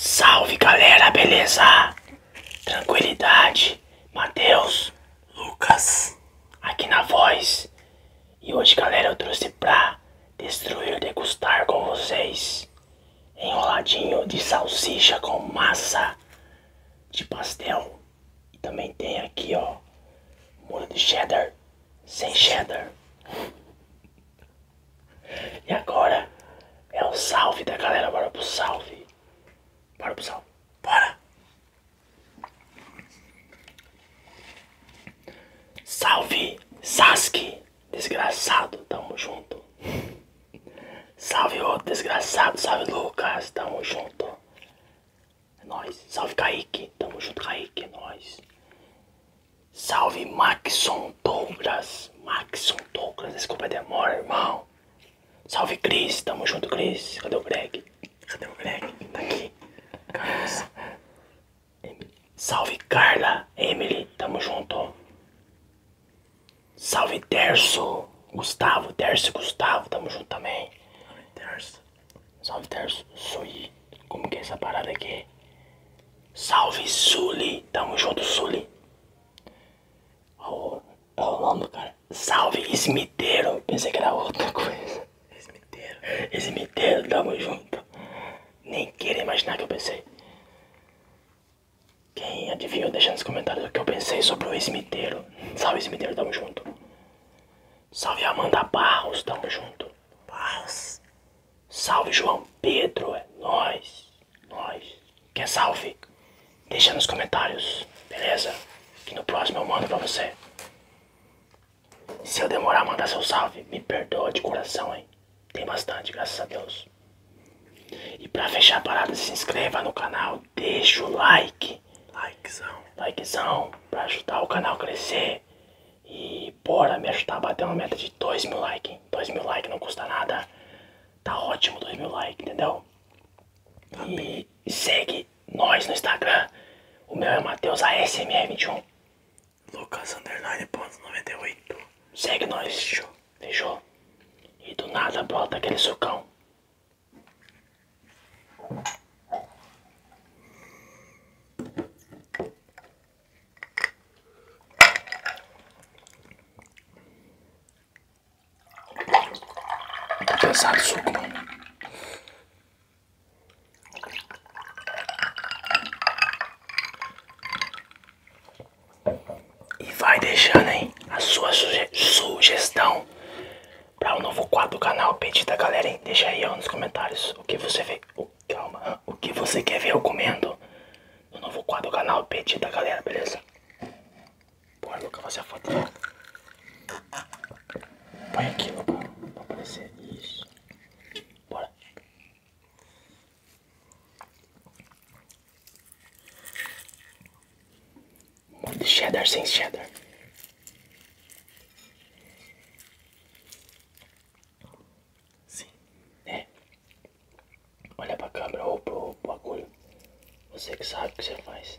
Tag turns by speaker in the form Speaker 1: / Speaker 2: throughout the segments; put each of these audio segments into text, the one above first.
Speaker 1: Salve galera, beleza? Tranquilidade, Mateus. Lucas aqui na voz e hoje galera eu trouxe pra destruir degustar com vocês enroladinho de salsicha com massa de pastel e também tem aqui ó molho de cheddar sem cheddar e agora é o salve da galera bora pro salve bora pro salve bora Salve Sasuke, desgraçado, tamo junto. Salve outro desgraçado, salve Lucas, tamo junto. É nóis. Salve Kaique, tamo junto Kaique, é nóis. Salve Maxon Douglas, Maxon Douglas, desculpa a demora, irmão. Salve Cris, tamo junto Cris, cadê o Greg? Cadê o Black? Tá aqui. Carlos. Salve Carla, Emily, tamo junto. Salve Terço, Gustavo, Terço e Gustavo, tamo junto também. Salve Terço. Salve Terço, Sui. Como que é essa parada aqui? Salve Suli, tamo junto Suli. Olha o cara. Salve Smiteiro, pensei que era outra coisa. Eximiteiro. Eximiteiro, tamo junto. Nem queira imaginar que eu pensei. Quem adivinhou, deixa nos comentários o que eu pensei sobre o Esmiteiro. Salve, Esmiteiro, tamo junto. Salve, Amanda Barros, tamo junto. Barros. Salve, João Pedro, é nós, Nóis. Quer salve? Deixa nos comentários, beleza? Que no próximo eu mando pra você. Se eu demorar a mandar seu salve, me perdoa de coração, hein? Tem bastante, graças a Deus. E pra fechar a parada, se inscreva no canal, deixa o like. Likezão. Likezão, pra ajudar o canal a crescer. E bora me ajudar a bater uma meta de 2 mil likes. 2 mil likes não custa nada. Tá ótimo 2 mil likes, entendeu? Tá e segue nós no Instagram. O meu é Matheus ASMR21. Lucas Underline ponto oito Segue nós. Fechou. Fechou. E do nada brota aquele sucão. Pesado suco, mano. E vai deixando aí a sua sugestão para o novo quadro do canal Pedida galera, hein? Deixa aí nos comentários o que você vê. Oh, calma, o que você quer ver eu comendo no novo quadro do canal Pedida galera, beleza? Bora, Luca, fazer a foto. Põe aqui, Lobão, pra aparecer. Isso. Bora. Molho de cheddar sem cheddar. Sim. É. Olha pra câmera ou pro bagulho. Você que sabe o que você faz.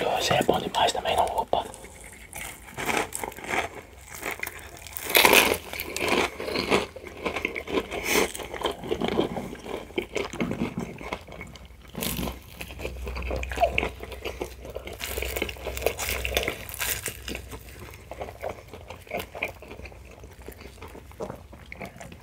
Speaker 1: Hoje é bom demais também, não? Opa!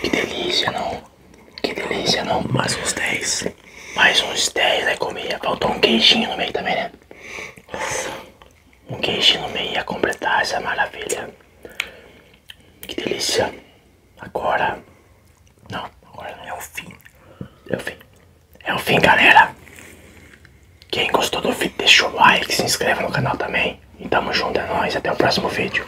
Speaker 1: Que delícia, não? Que delícia, não? Mais uns 10. Mais uns 10, aí comia. Faltou um queijinho no meio também, né? Um queijinho no meio a completar essa maravilha. Que delícia. Agora. Não, agora é o fim. É o fim. É o fim, galera. Quem gostou do vídeo, deixa o like, se inscreva no canal também. E tamo junto, é nóis. Até o próximo vídeo.